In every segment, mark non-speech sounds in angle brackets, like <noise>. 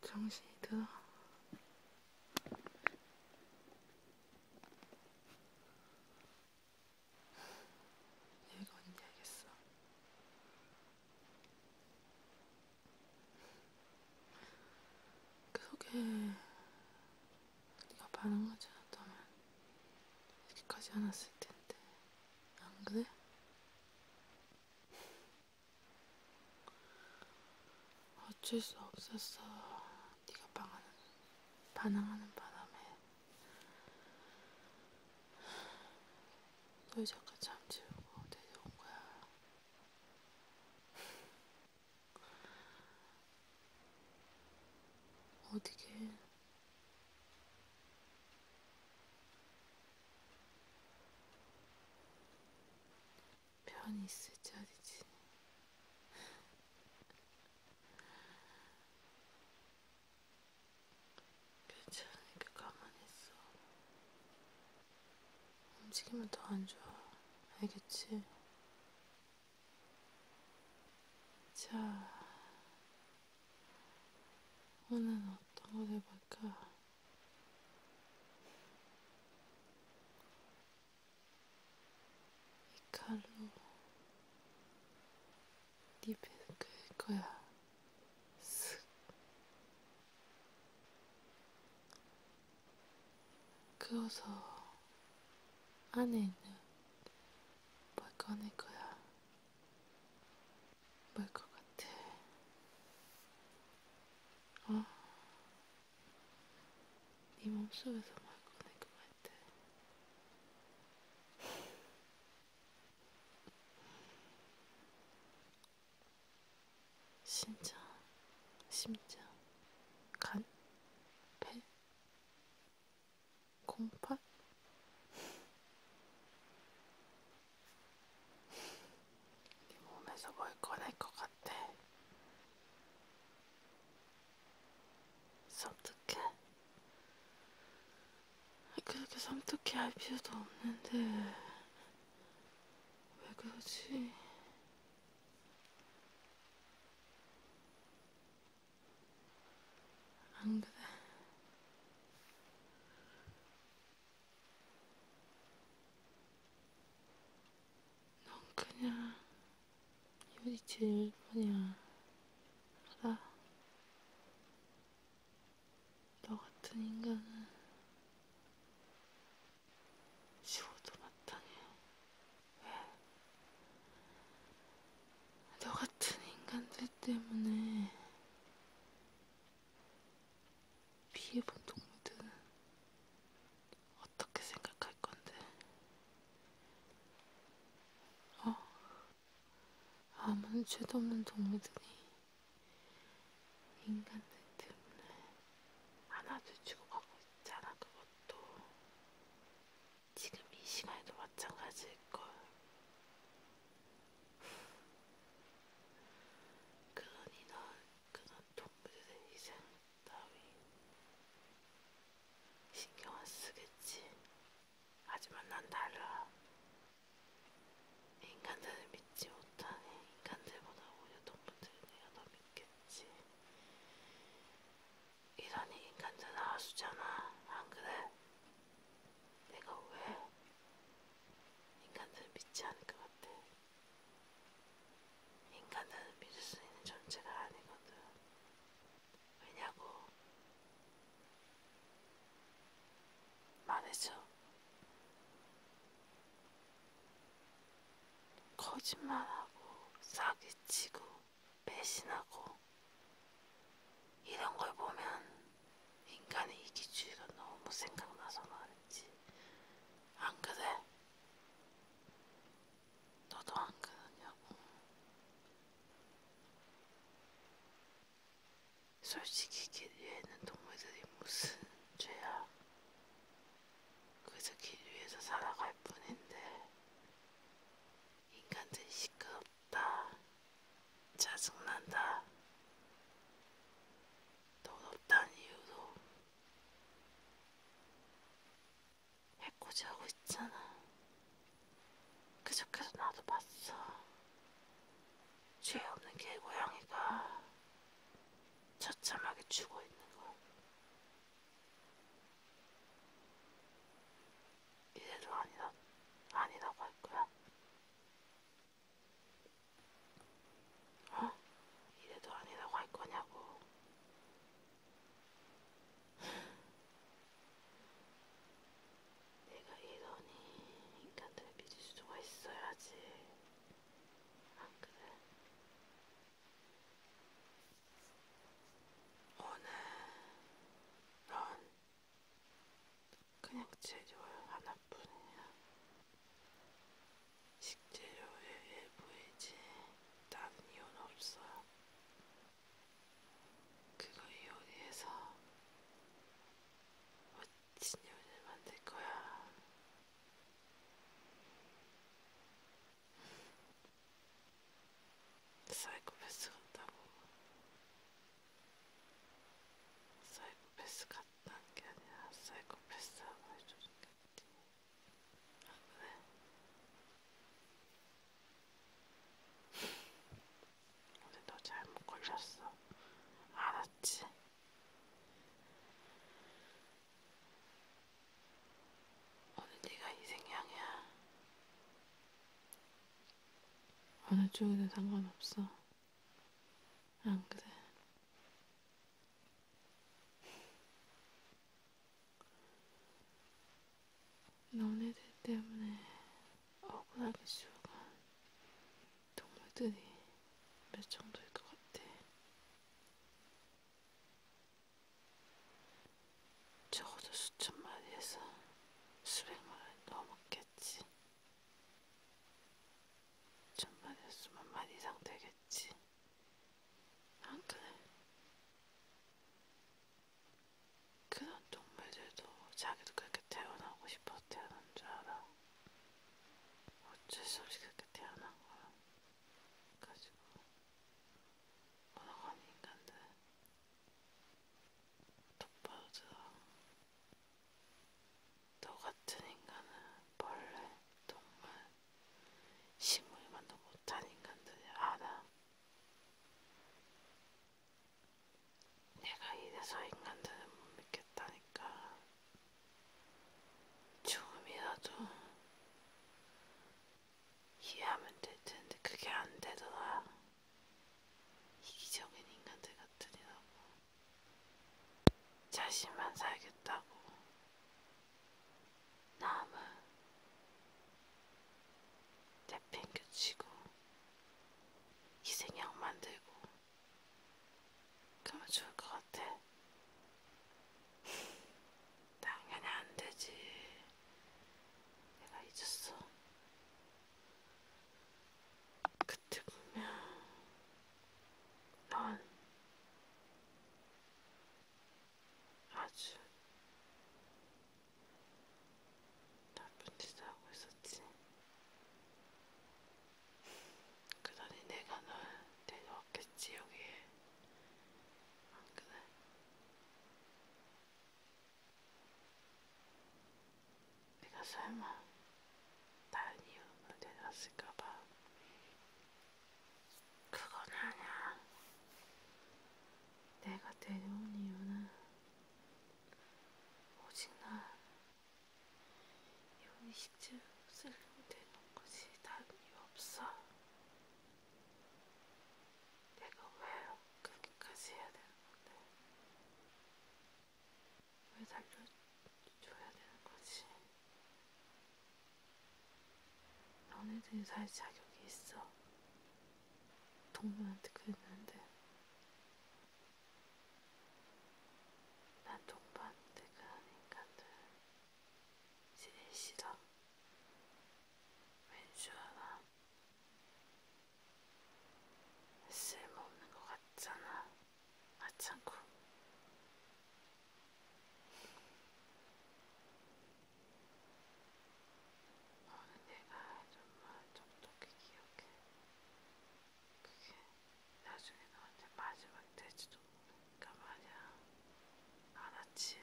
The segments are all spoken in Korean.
정신이 들어. 여기가 언제 알겠어. 그 속에 네가 반응하지 않다면 이렇게까지 않았을 텐데. 안 그래? 어쩔 수 없었어. 네가 반항하는, 반항하는 바람에 널 잠깐 잠재우고 데려온 거야. 어디게 편히 있을 자리지. 괜찮으니까 가만히 있어. 움직이면 더 안 좋아. 알겠지? 자, 오늘은 어떤 걸 해볼까? 이 칼로 네 배를 긁을 거야. 쓱. 그어서 안에 있는 뭘 꺼낼 거야. 뭘것 같아. 아, 네 몸속에서 막 꺼낼 것 같아. 신장, 심장, 간, 폐, 08? 네 몸에서 뭘 꺼낼 것 같아. 섬뜩해? 그렇게 섬뜩해 할 필요도 없는데 왜 그러지? 안 그래. 넌 그냥 요리칠 뿐이야. 알아? 너 같은 인간은 지워도 마땅해. 왜? 너 같은 인간들 때문에 피해본 동물들은 어떻게 생각할 건데? 어? 아무런 죄도 없는 동물들이 인간들 때문에 하나도 주고 가고 있잖아, 그것도. 지금 이 시간에도 마찬가지일걸. <laughs> 그러니 넌 그런 동물들의 희생 따위 신경 안 쓰겠지. 하지만 난 달라. 인간들을 믿지 못하니 인간들보다 오히려 동물들을 내가 더 믿겠지. 이란이 인간들 나와주잖아. 안 그래? 내가 왜 인간들을 믿지 않을 것 같아? 인간들을 믿을 수 있는 존재가 아니거든. 왜냐고? 말해줘. 거짓말하고, 사기치고, 배신하고 이런 걸 보면 인간의 이기주의가 너무 생각나서 말했지. 안 그래? 너도 안 그러냐고. 솔직히 길 위에 있는 동물들이 무슨 죄야? 그저 길 위에서 살아갈 뿐인데 인간들 시끄럽다. 짜증난다. 더럽다는 이유로 해코지하고 있잖아. 그저께도 나도 봤어. 죄 없는 개고양이가 처참하게 죽어있는 거. 이래도 아니다, 아니라고 할 거야? 어? 이래도 아니라고 할 거냐고. 내가 이러니 인간들을 믿을 수가 있어야지. 안 그래? 오늘 넌 그냥 재료 하나뿐이야. 식재료의 일부이지 다른 이유는 없어요. 그거 요리해서 멋진 요리를 만들 거야. 사이코패스 같다고 사이코패스 같다는 게 아니라 사이코패스하고 해주는 게 같아 아 그래? <laughs> 근데 너 잘못 걸렸어 알았지? 오늘 네가 희생양이야 어느 쪽이든 상관없어. 안 그래? 너네들 때문에 억울하게 죽은 동물들이 몇 정도일 것 같아. 적어도 수천 마리에서 수백 마리 넘었겠지. 천 마리에서 수만 마리 이상 되겠지. 안 그래? 그런 동물들도 자기도 그렇게 태어나고 싶어서 태어난 줄 알아. 어쩔 수 없이 그렇게 태어난 거야. 가지고 뭐라고 하는 인간들 똑바로 들어. 너 같은 인간은 벌레, 동물, 식물만도 못한 인간들이 알아. 내가 이래서 인간들을 못 믿겠다니까. 죽음이라도 이해하면 될 텐데 그게 안 되더라. 이기적인 인간들 같으니라고. 자신만 살겠다고. 남은 내팽겨치고 희생양 만들고 그러면 좋을 것 같아. 당연히 안 되지. 내가 잊었어. 그때 분명 넌 아주 나쁜 짓을 하고 있었지. 그러니 내가 널 데려왔겠지 여기에. 안 그래? 내가 설마 다른 이유로 내렸을까봐 그건 아니야. 내가 데려온 이유는 오직 나 이혼이 쉽지 없으려고 데려온 거지 다른 이유 없어. 내가 왜 그렇게까지 해야 되는 건데? 왜 살려줘야 되는 거지? 너네들이 살 자격이 있어. 동물한테 그랬는데. 난 동물한테 그런 인간들 제일 싫어. 왠줄 알아? 쓸모없는 것 같잖아. 아참고. 너는 내가 정말 똑똑히 기억해. 그게 나중에 너한테 마지막이 될지도 모르니까 말이야. 알았지?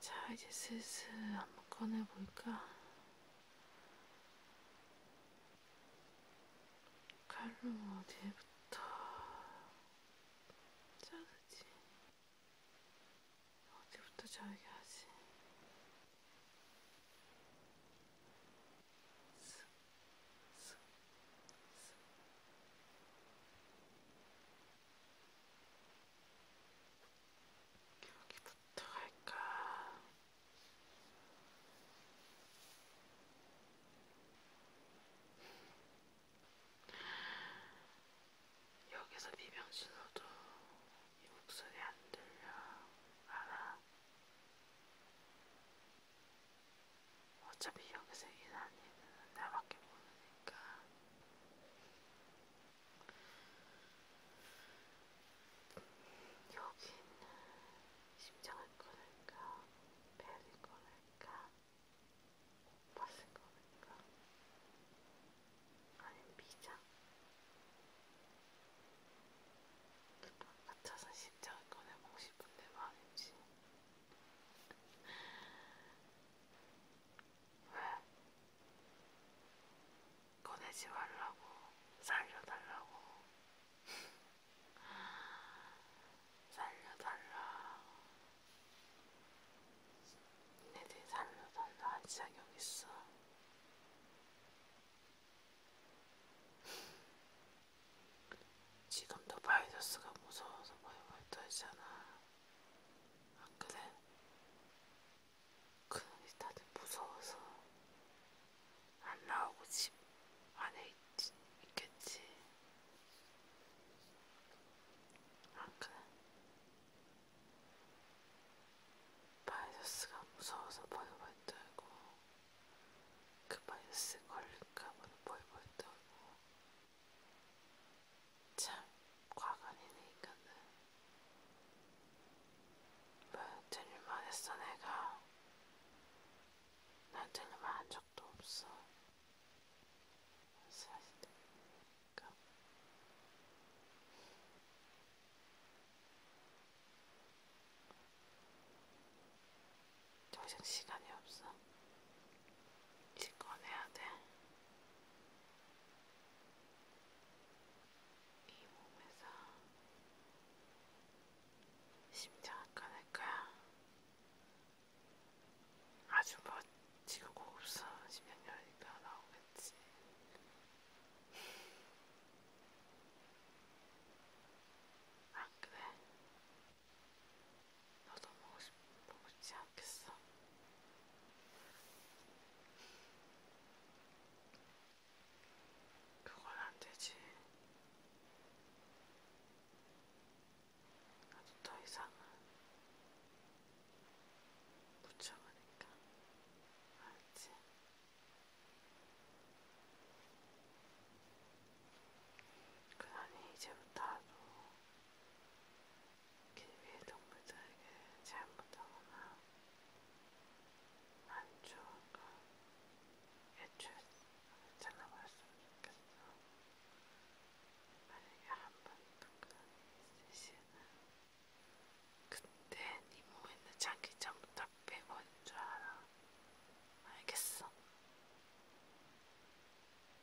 자, 이제 슬슬 한번 꺼내볼까? 칼로 어디에부터 자르지? 어디부터 자르게 하지? 여기부터 할까? 여기서 비명 질러도 이 목소리 안 들려. 알아? 어차피 여기서 일하는 일은 나밖에 모르니까. 여기 있는 심장을 꺼낼까, 배를 꺼낼까, 옷을 꺼낼까, 아니면 미장? 같아서 심장을 꺼내보고 싶은데 말이지. 왜? 꺼내지 말라고, 살려달라고, 살려달라. 니네들 살려달라, 한 자격 있어. 지금도 바이러스가 무서워서 벌벌 떨잖아. 안 아, 그래? 그놈이 다들 무서워서 안 나오고 집 안에 있, 있겠지. 안 아, 그래? 바이러스가 무서워서 벌벌 떨고 그 바이러스 걸릴까봐 벌벌 떨고 참 과간이네 인간은 왜 들릴만 했어 내가 난 들릴만 한 적도 없어 사실 그러니까 더 이상 시간이 없어. 이제 꺼내야 돼. 이 몸에서 심장을 꺼낼 거야. 아주 멋지고 고급스러운 심장열이가 나오겠지. 아 그래? 너도 먹고 싶, 보고 싶지 않겠어? 그건 안 되지. 나도 더 이상은 못 참으니까. 알지? 그러니 이제부터 하도 길 위의 동물들에게 잘못하거나 안 좋은 건 애초에 잘라버렸으면 좋겠어. 만약에 한 번도 그런 일이 있으시면 그때 네 몸에 있는 장기 전부터 답이 뭔줄 알아. 알겠어.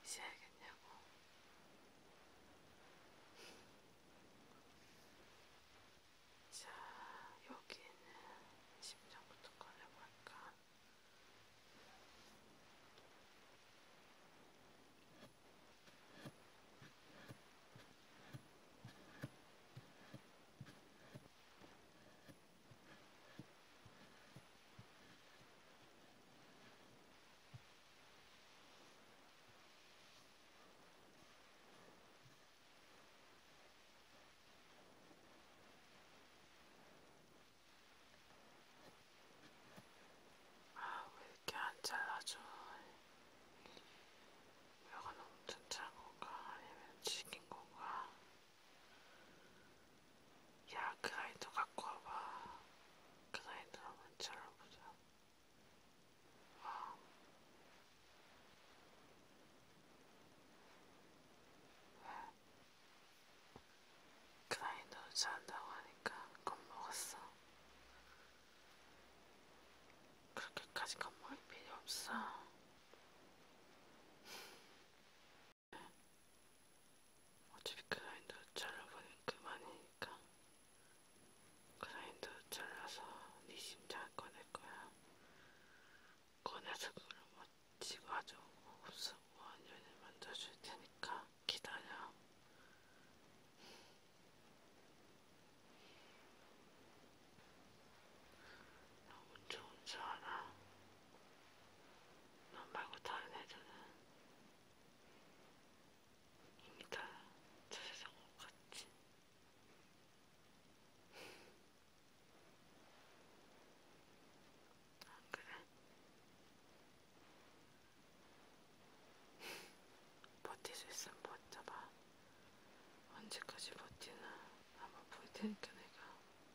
이제 알겠냐고. 자, 여기는 심장부터 꺼내볼까? 아, 왜 이렇게 안 잘라줘? 이거 너무 튼튼한 건가? 아니면 튀긴 건가? 야, 그 아이도 갖고 와봐. 그 아이도 한번 쳐다보자. 와. 아. 그 아이도 잔다고 하니까 겁먹었어. 그렇게까지 겁먹을 필요 없어. 어차피 그라인더 잘라버리면 그만이니까 그라인더 잘라서 네 심장 꺼낼 거야. 꺼내서 그걸 뭐 지가져 없어 완전히 만져줄 테니까 기다려. 나 혼자 혼자 알아. 너 말고 다른 애들은 이미 다저 세상 못 갔지. 안 그래? 버틸 수 있으면 버텨봐. 언제까지 버티나 한번 볼 테니까 내가.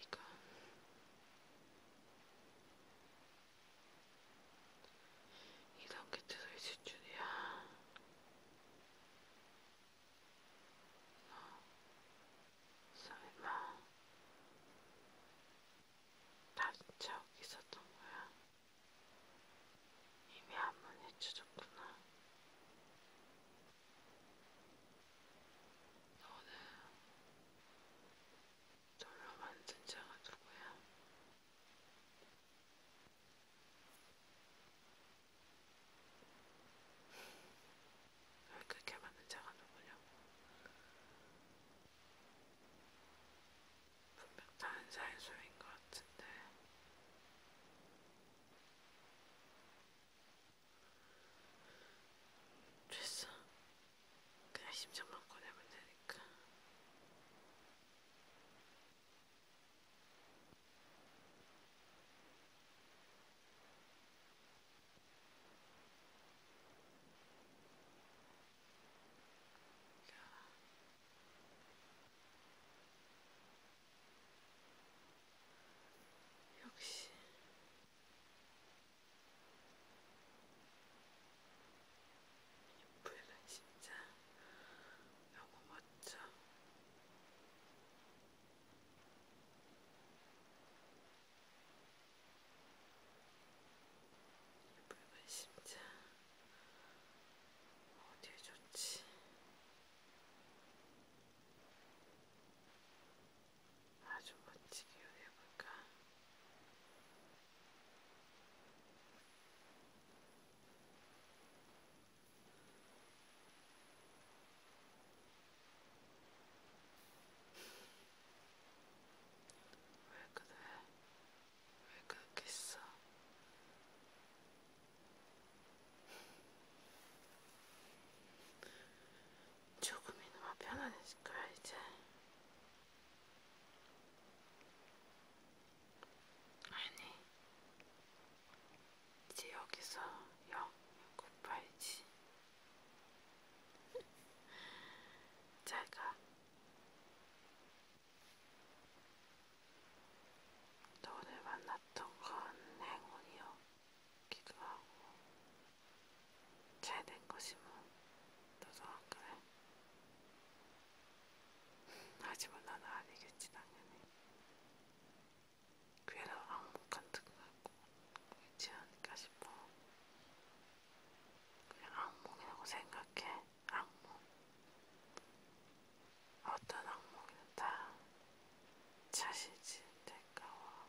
이건 이런 게 들어 있을 줄이야. 너 설마 다시 저기 있었던 거야? 이미 한 번 해쳐졌구나. 너는 돌로 만든 자가 누구야? 널 그렇게 만든 자가 누구냐고? 분명 다른 사의 소인것 같은데 됐어. 그냥 심장만 꺼내면 되니까. 야. 역시 이 풀은 진짜 너무 멋져. 이 풀은 진짜 어디에 좋지? 아주 멋지게 해볼까? 왜 그래? 왜 그렇게 있어? 조금이나마 편안해질 거야 이제. 아니, 이제 여기서 영 굿바이지. <laughs> 잘가. 너를 만났던 건 행운이었기도 하고 잘 된 것이면 너도 안 그래? 하지만 나는 아니겠지 당연히 괴로 악몽간 듯 같고 그렇지 않을까 싶어 그냥 악몽이라고 생각해 악몽. 어떤 악몽이든 다 자신이 대가와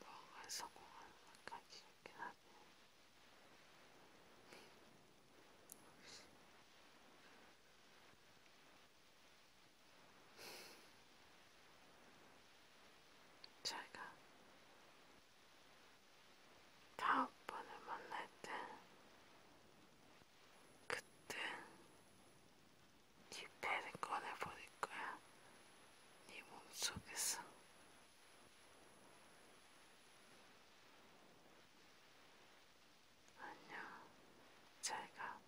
무언가에 성공하는 생각이 있긴 하네. 자기가 다음 번을 만날 때 그때 네 배를 꺼내버릴 거야. 네 몸속에서. 안녕. 잘 가.